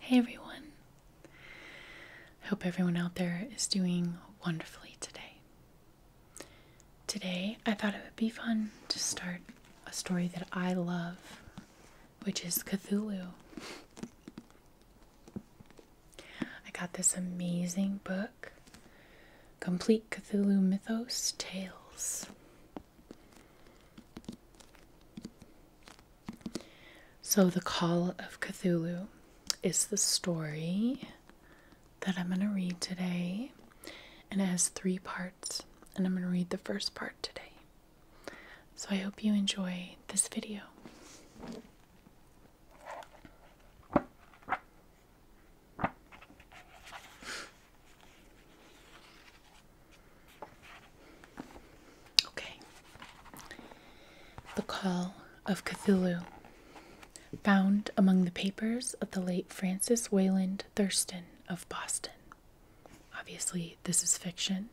Hey everyone. I hope everyone out there is doing wonderfully today. Today, I thought it would be fun to start a story that I love, which is Cthulhu. I got this amazing book, Complete Cthulhu Mythos Tales. So, The Call of Cthulhu is the story that I'm going to read today, and it has three parts, and I'm going to read the first part today. So, I hope you enjoy this video. Okay. The Call of Cthulhu. Found among the papers of the late Francis Wayland Thurston of Boston. Obviously, this is fiction.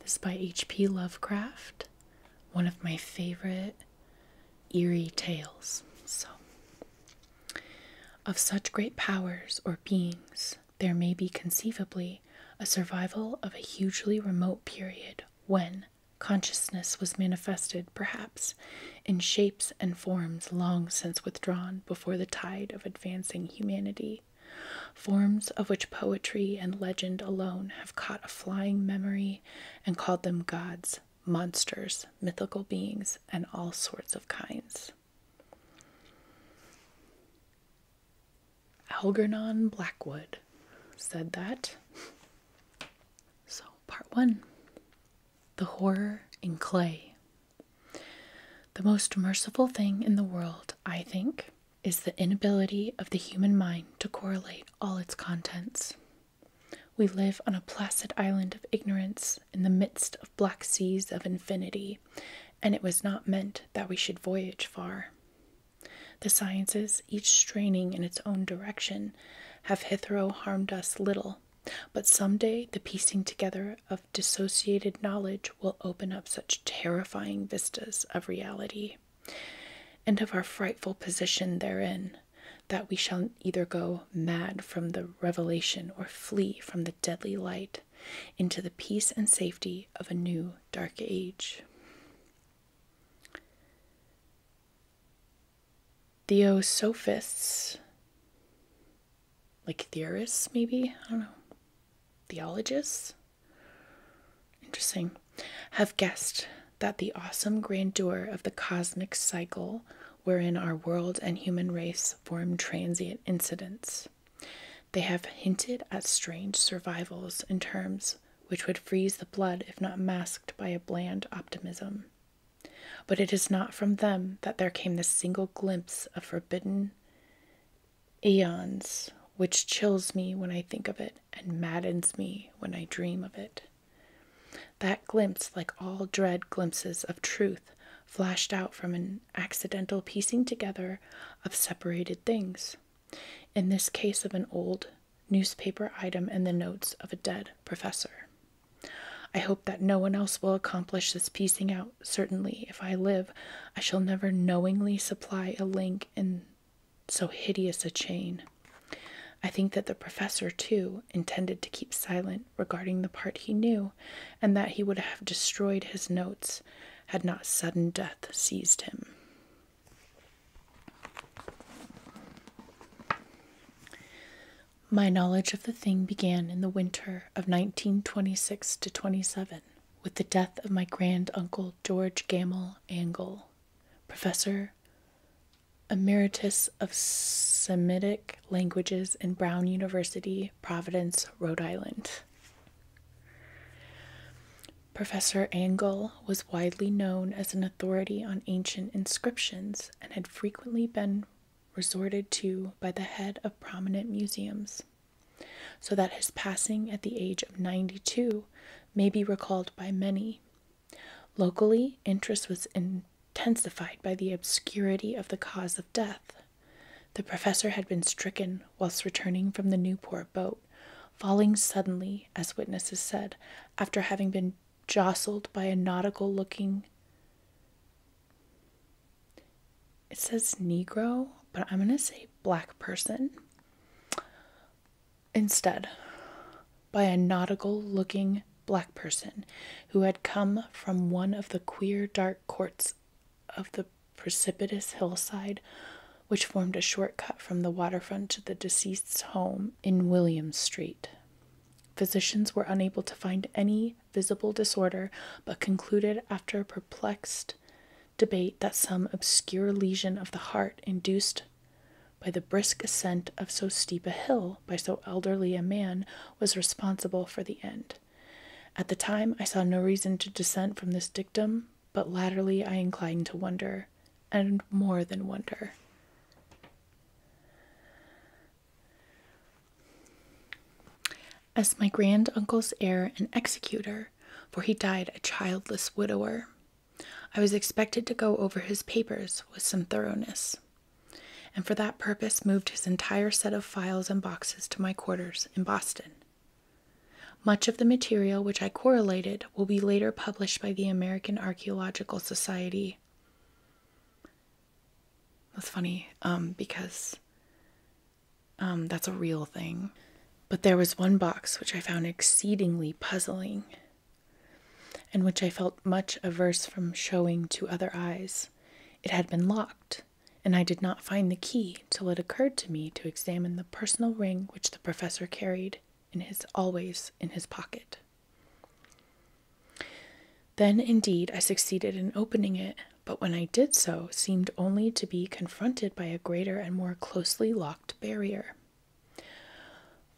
This is by H.P. Lovecraft, one of my favorite eerie tales. So, of such great powers or beings, there may be conceivably a survival of a hugely remote period when consciousness was manifested, perhaps, in shapes and forms long since withdrawn before the tide of advancing humanity, forms of which poetry and legend alone have caught a flying memory and called them gods, monsters, mythical beings, and all sorts of kinds. Algernon Blackwood said that. So, part one The Horror in Clay. The most merciful thing in the world, I think, is the inability of the human mind to correlate all its contents. We live on a placid island of ignorance in the midst of black seas of infinity and it was not meant that we should voyage far. The sciences, each straining in its own direction, have hitherto harmed us little, but some day the piecing together of dissociated knowledge will open up such terrifying vistas of reality and of our frightful position therein that we shall either go mad from the revelation or flee from the deadly light into the peace and safety of a new dark age. Theosophists, like theorists, maybe, I don't know, theologists, interesting, have guessed that the awesome grandeur of the cosmic cycle wherein our world and human race form transient incidents they have hinted at strange survivals in terms which would freeze the blood if not masked by a bland optimism. But it is not from them that there came the single glimpse of forbidden eons, which chills me when I think of it and maddens me when I dream of it. That glimpse, like all dread glimpses of truth, flashed out from an accidental piecing together of separated things, in this case, of an old newspaper item and the notes of a dead professor. I hope that no one else will accomplish this piecing out. Certainly, if I live, I shall never knowingly supply a link in so hideous a chain. I think that the professor, too, intended to keep silent regarding the part he knew, and that he would have destroyed his notes had not sudden death seized him. My knowledge of the thing began in the winter of 1926 to 27 with the death of my grand uncle George Gamel Angle, professor emeritus of Semitic languages in Brown University, Providence, Rhode Island. Professor Angle was widely known as an authority on ancient inscriptions and had frequently been resorted to by the head of prominent museums, so that his passing at the age of 92 may be recalled by many. Locally, interest was intensified by the obscurity of the cause of death. The professor had been stricken whilst returning from the Newport boat, falling suddenly, as witnesses said, after having been jostled by a nautical looking. It says Negro, but I'm going to say black person. Instead, by a nautical looking black person who had come from one of the queer dark courts of the precipitous hillside which formed a short cut from the waterfront to the deceased's home in William Street. Physicians were unable to find any visible disorder, but concluded after a perplexed debate that some obscure lesion of the heart induced by the brisk ascent of so steep a hill by so elderly a man was responsible for the end. At the time, I saw no reason to dissent from this dictum, but latterly I incline to wonder, and more than wonder. As my grand uncle's heir and executor, for he died a childless widower, I was expected to go over his papers with some thoroughness, and for that purpose moved his entire set of files and boxes to my quarters in Boston. Much of the material which I correlated will be later published by the American Archaeological Society. That's funny um, because um, that's a real thing. But there was one box which I found exceedingly puzzling and which I felt much averse from showing to other eyes. It had been locked and I did not find the key till it occurred to me to examine the personal ring which the professor carried in his always in his pocket. Then indeed I succeeded in opening it, but when I did so, seemed only to be confronted by a greater and more closely locked barrier.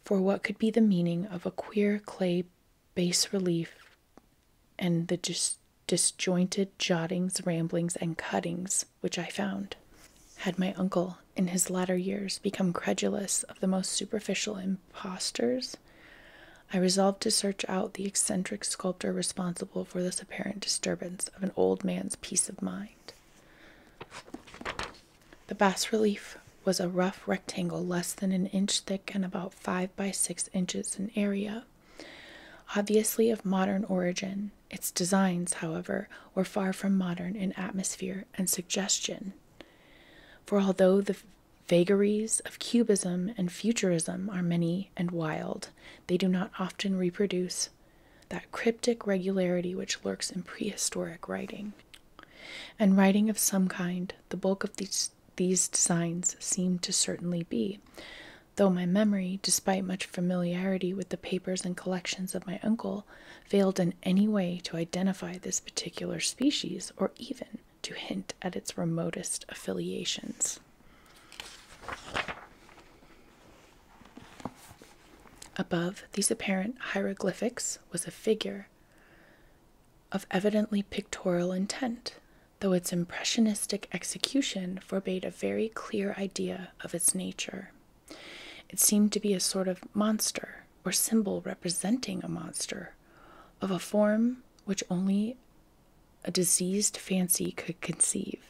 For what could be the meaning of a queer clay bas relief and the disjointed jottings, ramblings, and cuttings which I found. Had my uncle, in his latter years, become credulous of the most superficial impostors, I resolved to search out the eccentric sculptor responsible for this apparent disturbance of an old man's peace of mind. The bas relief was a rough rectangle less than an inch thick and about five by six inches in area. Obviously of modern origin, its designs, however, were far from modern in atmosphere and suggestion. For although the vagaries of cubism and futurism are many and wild, they do not often reproduce that cryptic regularity which lurks in prehistoric writing. And writing of some kind, the bulk of these, these designs seem to certainly be, though my memory, despite much familiarity with the papers and collections of my uncle, failed in any way to identify this particular species or even to hint at its remotest affiliations. Above these apparent hieroglyphics was a figure of evidently pictorial intent, though its impressionistic execution forbade a very clear idea of its nature. It seemed to be a sort of monster or symbol representing a monster of a form which only a diseased fancy could conceive.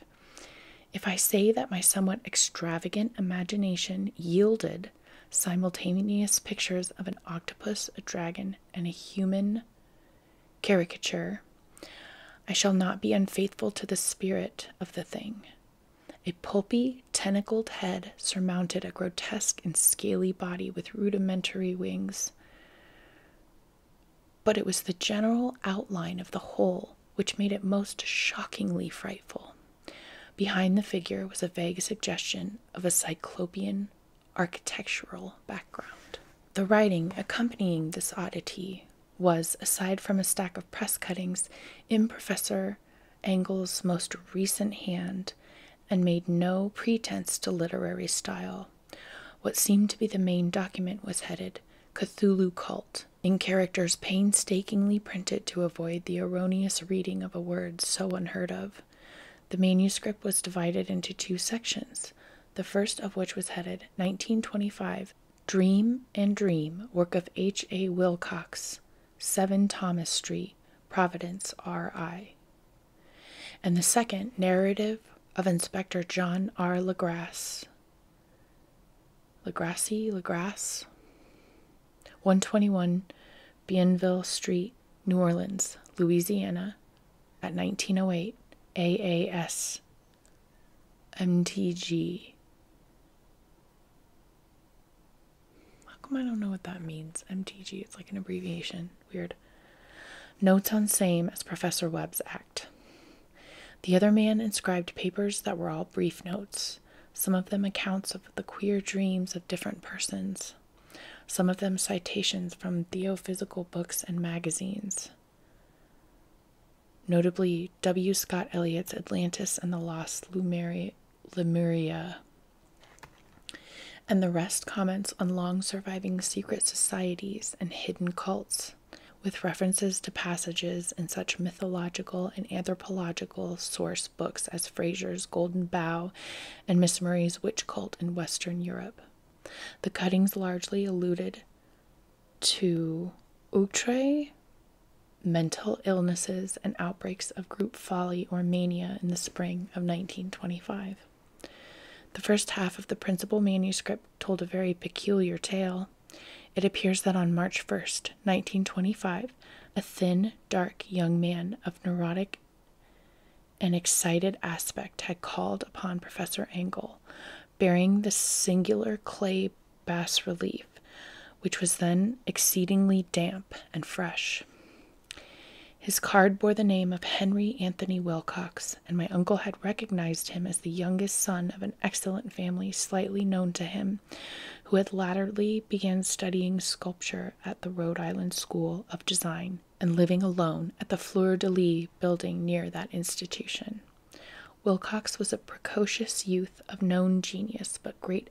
If I say that my somewhat extravagant imagination yielded simultaneous pictures of an octopus, a dragon, and a human caricature. I shall not be unfaithful to the spirit of the thing. A pulpy, tentacled head surmounted a grotesque and scaly body with rudimentary wings. But it was the general outline of the whole which made it most shockingly frightful. Behind the figure was a vague suggestion of a cyclopean architectural background. The writing accompanying this oddity was, aside from a stack of press cuttings, in Professor Engel's most recent hand and made no pretense to literary style. What seemed to be the main document was headed Cthulhu Cult, in characters painstakingly printed to avoid the erroneous reading of a word so unheard of. The manuscript was divided into two sections the first of which was headed 1925 Dream and Dream, work of H. A. Wilcox, 7 Thomas Street, Providence, R.I. And the second, Narrative of Inspector John R. LaGrasse, LaGrassi, LaGrasse, 121 Bienville Street, New Orleans, Louisiana, at 1908 AAS MTG. How come I don't know what that means? MTG, it's like an abbreviation. Weird. Notes on same as Professor Webb's act. The other man inscribed papers that were all brief notes, some of them accounts of the queer dreams of different persons, some of them citations from theophysical books and magazines. Notably, W. Scott Eliot's Atlantis and the Lost Lemuria, and the rest comments on long surviving secret societies and hidden cults, with references to passages in such mythological and anthropological source books as Fraser's Golden Bough and Miss Murray's Witch Cult in Western Europe. The cuttings largely alluded to outre mental illnesses and outbreaks of group folly or mania in the spring of 1925. The first half of the principal manuscript told a very peculiar tale. It appears that on March 1st, 1925, a thin, dark young man of neurotic an excited aspect had called upon Professor Angle, bearing the singular clay bas relief, which was then exceedingly damp and fresh. His card bore the name of Henry Anthony Wilcox, and my uncle had recognized him as the youngest son of an excellent family slightly known to him, who had latterly begun studying sculpture at the Rhode Island School of Design and living alone at the Fleur de Lis building near that institution. Wilcox was a precocious youth of known genius but great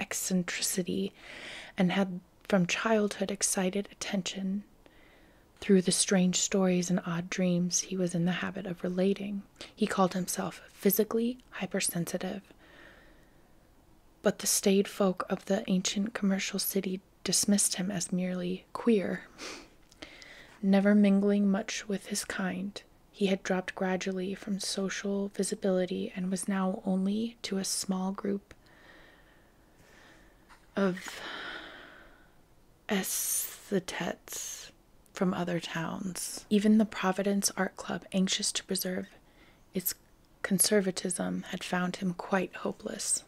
eccentricity and had from childhood excited attention through the strange stories and odd dreams he was in the habit of relating. He called himself physically hypersensitive. But the staid folk of the ancient commercial city dismissed him as merely queer. Never mingling much with his kind, he had dropped gradually from social visibility and was now only to a small group of aesthetes from other towns. Even the Providence Art Club, anxious to preserve its conservatism, had found him quite hopeless.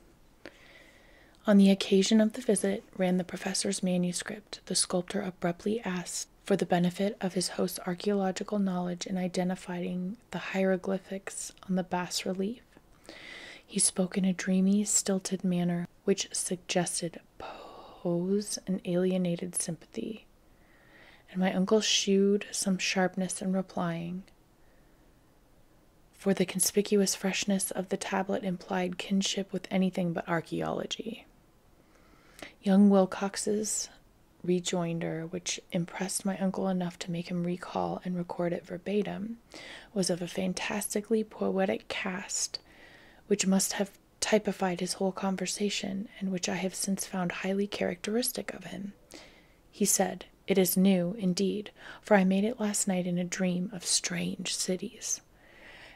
On the occasion of the visit, ran the professor's manuscript. The sculptor abruptly asked for the benefit of his host's archaeological knowledge in identifying the hieroglyphics on the bas relief. He spoke in a dreamy, stilted manner which suggested pose and alienated sympathy. And my uncle shewed some sharpness in replying for the conspicuous freshness of the tablet implied kinship with anything but archaeology. Young Wilcox's rejoinder, which impressed my uncle enough to make him recall and record it verbatim, was of a fantastically poetic cast, which must have typified his whole conversation, and which I have since found highly characteristic of him. He said, it is new indeed, for I made it last night in a dream of strange cities.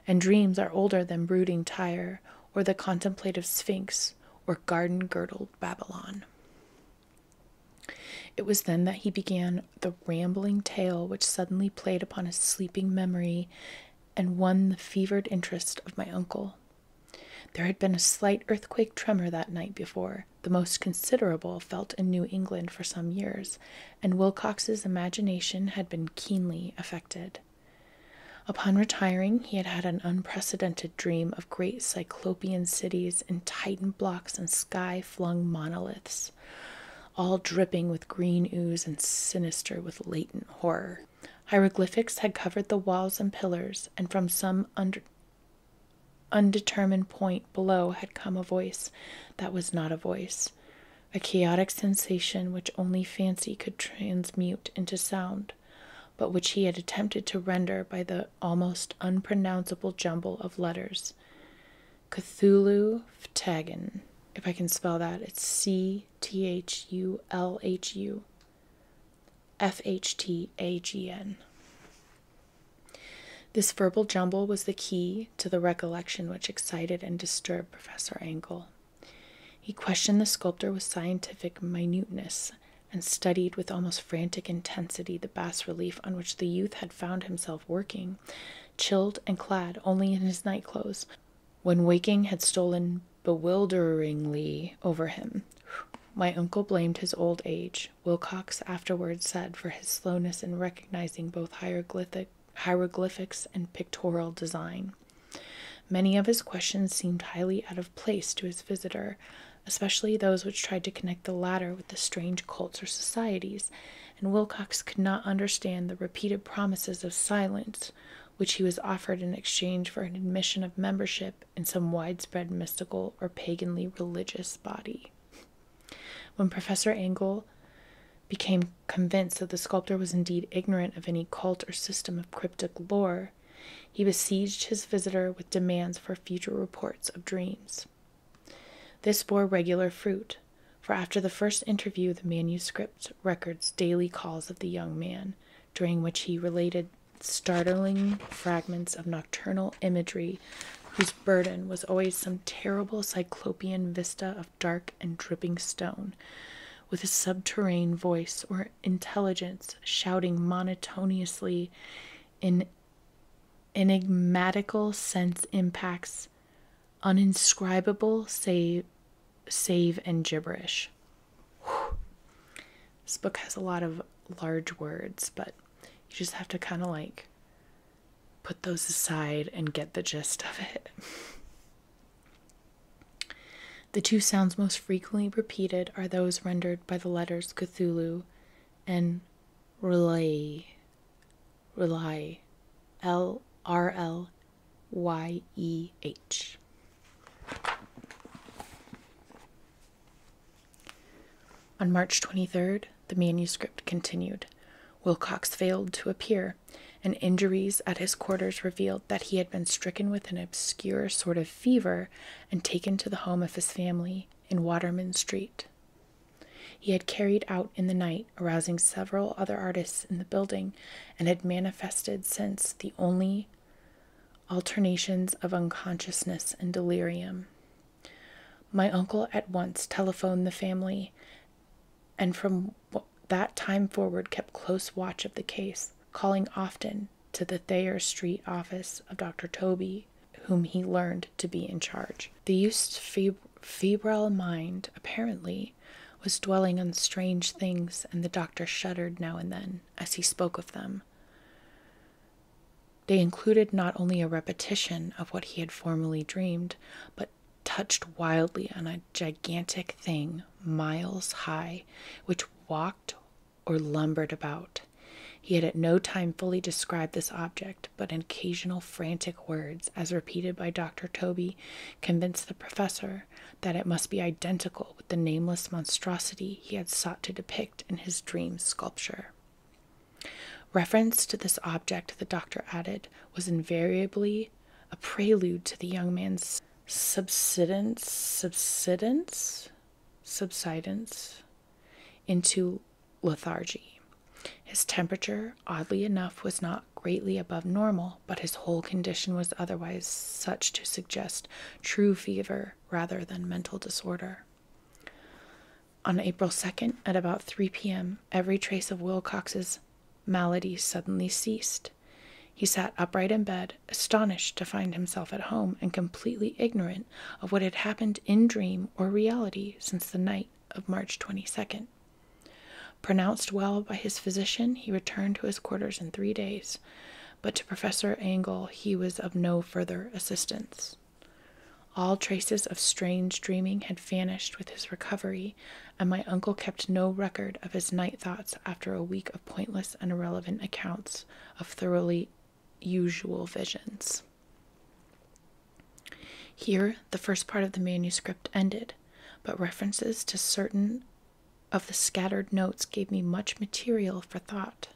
And dreams are older than brooding Tyre, or the contemplative Sphinx, or garden girdled Babylon. It was then that he began the rambling tale which suddenly played upon his sleeping memory and won the fevered interest of my uncle. There had been a slight earthquake tremor that night before, the most considerable felt in New England for some years, and Wilcox's imagination had been keenly affected. Upon retiring, he had had an unprecedented dream of great cyclopean cities and titan blocks and sky flung monoliths, all dripping with green ooze and sinister with latent horror. Hieroglyphics had covered the walls and pillars, and from some under undetermined point below had come a voice that was not a voice, a chaotic sensation which only fancy could transmute into sound, but which he had attempted to render by the almost unpronounceable jumble of letters. Cthulhu Phtagon, if I can spell that, it's C T H U L H U F H T A G N. This verbal jumble was the key to the recollection which excited and disturbed Professor Angle. He questioned the sculptor with scientific minuteness and studied with almost frantic intensity the bas relief on which the youth had found himself working, chilled and clad only in his night clothes, when waking had stolen bewilderingly over him. My uncle blamed his old age, Wilcox afterwards said for his slowness in recognizing both hieroglyphics and pictorial design. Many of his questions seemed highly out of place to his visitor, especially those which tried to connect the latter with the strange cults or societies, and Wilcox could not understand the repeated promises of silence which he was offered in exchange for an admission of membership in some widespread mystical or paganly religious body. When Professor Engel became convinced that the sculptor was indeed ignorant of any cult or system of cryptic lore, he besieged his visitor with demands for future reports of dreams. This bore regular fruit, for after the first interview, the manuscript records daily calls of the young man, during which he related startling fragments of nocturnal imagery burden was always some terrible cyclopean vista of dark and dripping stone, with a subterranean voice or intelligence shouting monotonously in enigmatical sense impacts, uninscribable save, save and gibberish. This book has a lot of large words, but you just have to kind of like put those aside and get the gist of it. the two sounds most frequently repeated are those rendered by the letters Cthulhu and Rly, Rely. L R L Y E H. On March 23rd, the manuscript continued. Wilcox failed to appear, and injuries at his quarters revealed that he had been stricken with an obscure sort of fever and taken to the home of his family in Waterman Street. He had carried out in the night, arousing several other artists in the building, and had manifested since the only alternations of unconsciousness and delirium. My uncle at once telephoned the family, and from that time forward kept close watch of the case, calling often to the Thayer Street office of Dr. Toby, whom he learned to be in charge. The youth's feb febrile mind, apparently, was dwelling on strange things, and the doctor shuddered now and then as he spoke of them. They included not only a repetition of what he had formerly dreamed, but touched wildly on a gigantic thing miles high, which walked or lumbered about. He had at no time fully described this object, but in occasional frantic words, as repeated by Dr. Toby, convinced the professor that it must be identical with the nameless monstrosity he had sought to depict in his dream sculpture. Reference to this object, the doctor added, was invariably a prelude to the young man's subsidence, subsidence, subsidence into lethargy. His temperature, oddly enough, was not greatly above normal, but his whole condition was otherwise such to suggest true fever rather than mental disorder. On April 2nd, at about 3 p.m., every trace of Wilcox's malady suddenly ceased. He sat upright in bed, astonished to find himself at home and completely ignorant of what had happened in dream or reality since the night of March 22nd. Pronounced well by his physician, he returned to his quarters in three days, but to Professor Angle he was of no further assistance. All traces of strange dreaming had vanished with his recovery, and my uncle kept no record of his night thoughts after a week of pointless and irrelevant accounts of thoroughly usual visions. Here, the first part of the manuscript ended, but references to certain of the scattered notes gave me much material for thought.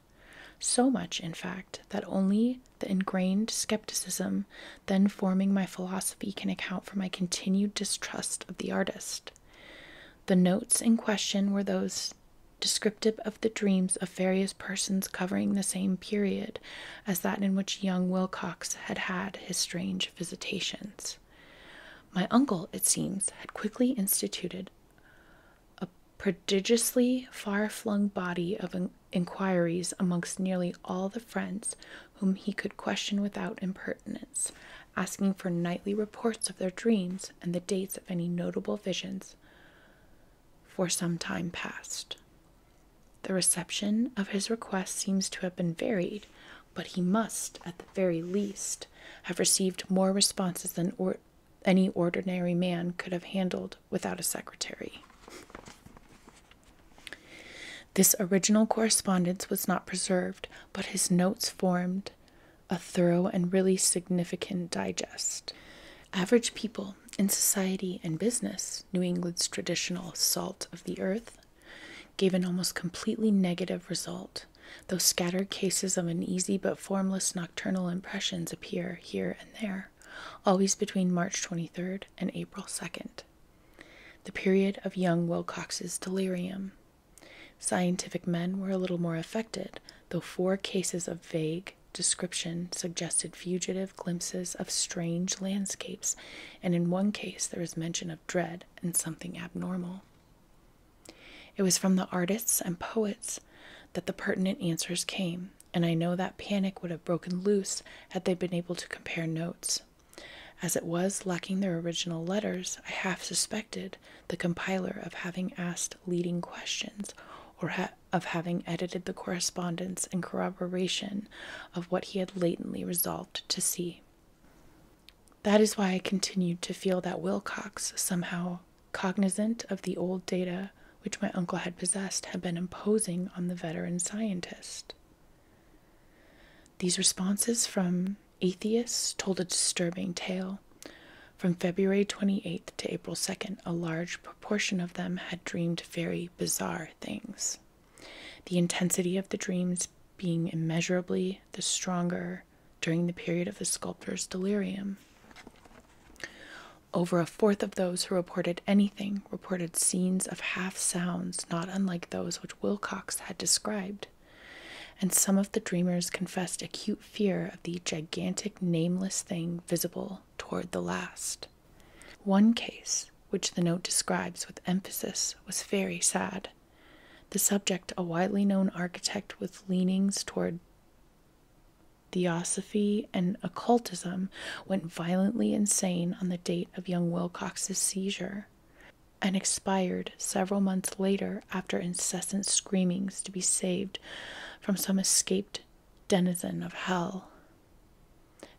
So much, in fact, that only the ingrained skepticism then forming my philosophy can account for my continued distrust of the artist. The notes in question were those descriptive of the dreams of various persons covering the same period as that in which young Wilcox had had his strange visitations. My uncle, it seems, had quickly instituted a prodigiously far flung body of inquiries amongst nearly all the friends whom he could question without impertinence, asking for nightly reports of their dreams and the dates of any notable visions. For some time past. The reception of his request seems to have been varied, but he must, at the very least, have received more responses than any ordinary man could have handled without a secretary. This original correspondence was not preserved, but his notes formed a thorough and really significant digest. Average people in society and business, New England's traditional salt of the earth, gave an almost completely negative result, though scattered cases of uneasy but formless nocturnal impressions appear here and there always between March 23rd and April 2nd, the period of young Wilcox's delirium. Scientific men were a little more affected, though four cases of vague description suggested fugitive glimpses of strange landscapes, and in one case there was mention of dread and something abnormal. It was from the artists and poets that the pertinent answers came, and I know that panic would have broken loose had they been able to compare notes. As it was, lacking their original letters, I half suspected the compiler of having asked leading questions or of having edited the correspondence in corroboration of what he had latently resolved to see. That is why I continued to feel that Wilcox somehow cognizant of the old data which my uncle had possessed, had been imposing on the veteran scientist. These responses from atheists told a disturbing tale. From February 28th to April 2nd, a large proportion of them had dreamed very bizarre things. The intensity of the dreams being immeasurably the stronger during the period of the sculptor's delirium. Over a fourth of those who reported anything reported scenes of half sounds not unlike those which Wilcox had described, and some of the dreamers confessed acute fear of the gigantic nameless thing visible toward the last. One case, which the note describes with emphasis, was very sad. The subject, a widely known architect with leanings toward theosophy, and occultism went violently insane on the date of young Wilcox's seizure and expired several months later after incessant screamings to be saved from some escaped denizen of hell.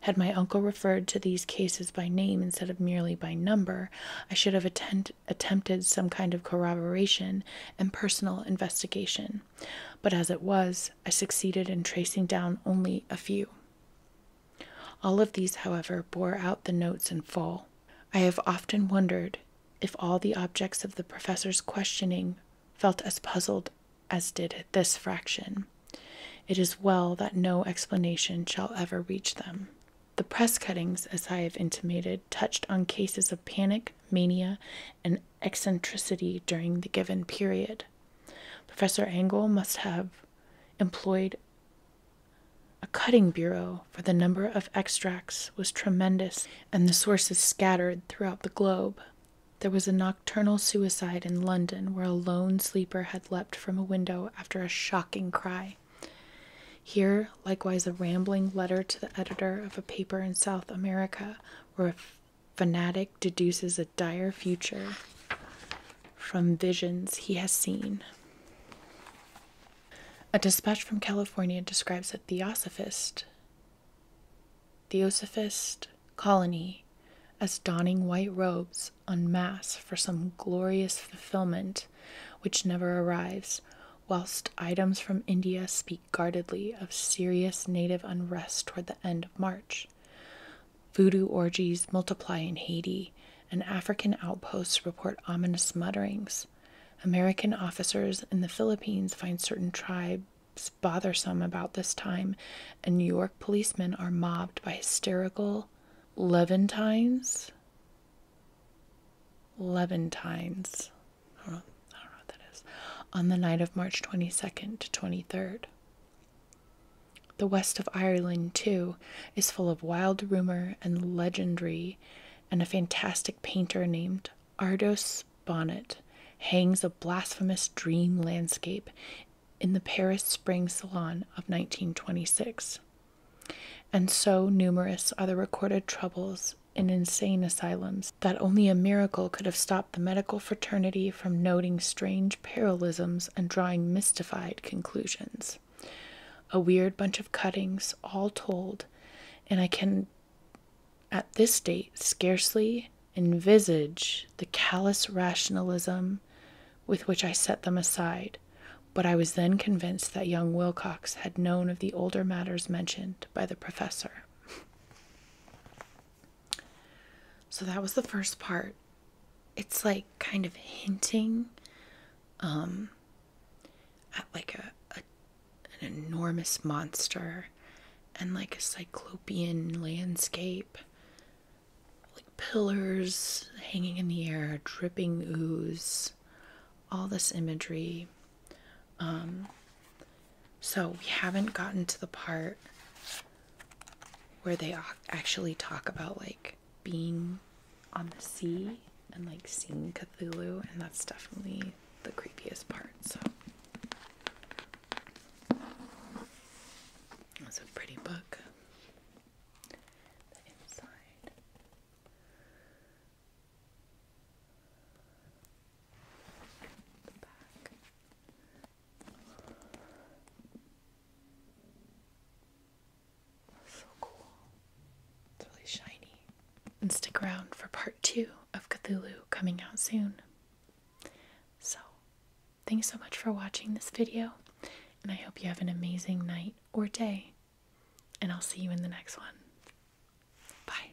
Had my uncle referred to these cases by name instead of merely by number, I should have attempted some kind of corroboration and personal investigation but as it was, I succeeded in tracing down only a few. All of these, however, bore out the notes in full. I have often wondered if all the objects of the professor's questioning felt as puzzled as did this fraction. It is well that no explanation shall ever reach them. The press cuttings, as I have intimated, touched on cases of panic, mania, and eccentricity during the given period. Professor Angle must have employed a cutting bureau, for the number of extracts was tremendous and the sources scattered throughout the globe. There was a nocturnal suicide in London where a lone sleeper had leapt from a window after a shocking cry. Here, likewise, a rambling letter to the editor of a paper in South America where fanatic deduces a dire future from visions he has seen. A dispatch from California describes a theosophist, theosophist colony as donning white robes en masse for some glorious fulfillment which never arrives, whilst items from India speak guardedly of serious native unrest toward the end of March. Voodoo orgies multiply in Haiti, and African outposts report ominous mutterings. American officers in the Philippines find certain tribes bothersome about this time, and New York policemen are mobbed by hysterical Levantines. Levantines. I don't, know, what that is. On the night of March 22nd to 23rd. The west of Ireland, too, is full of wild rumor and legendry, and a fantastic painter named Ardos Bonnet hangs a blasphemous dream landscape in the Paris Spring Salon of 1926. And so numerous are the recorded troubles in insane asylums, that only a miracle could have stopped the medical fraternity from noting strange parallelisms and drawing mystified conclusions. A weird bunch of cuttings, all told, and I can, at this date, scarcely envisage the callous rationalism with which I set them aside. But I was then convinced that young Wilcox had known of the older matters mentioned by the professor. So that was the first part. It's like kind of hinting um, at like a an enormous monster and like a cyclopean landscape, like pillars hanging in the air, dripping ooze, all this imagery um, so we haven't gotten to the part where they actually talk about like being on the sea and like seeing Cthulhu, and that's definitely the creepiest part. So that's a pretty book. So cool. It's really shiny. And stick around for part two of Cthulhu coming out soon. So, thanks so much for watching this video, and I hope you have an amazing night or day, and I'll see you in the next one. Bye.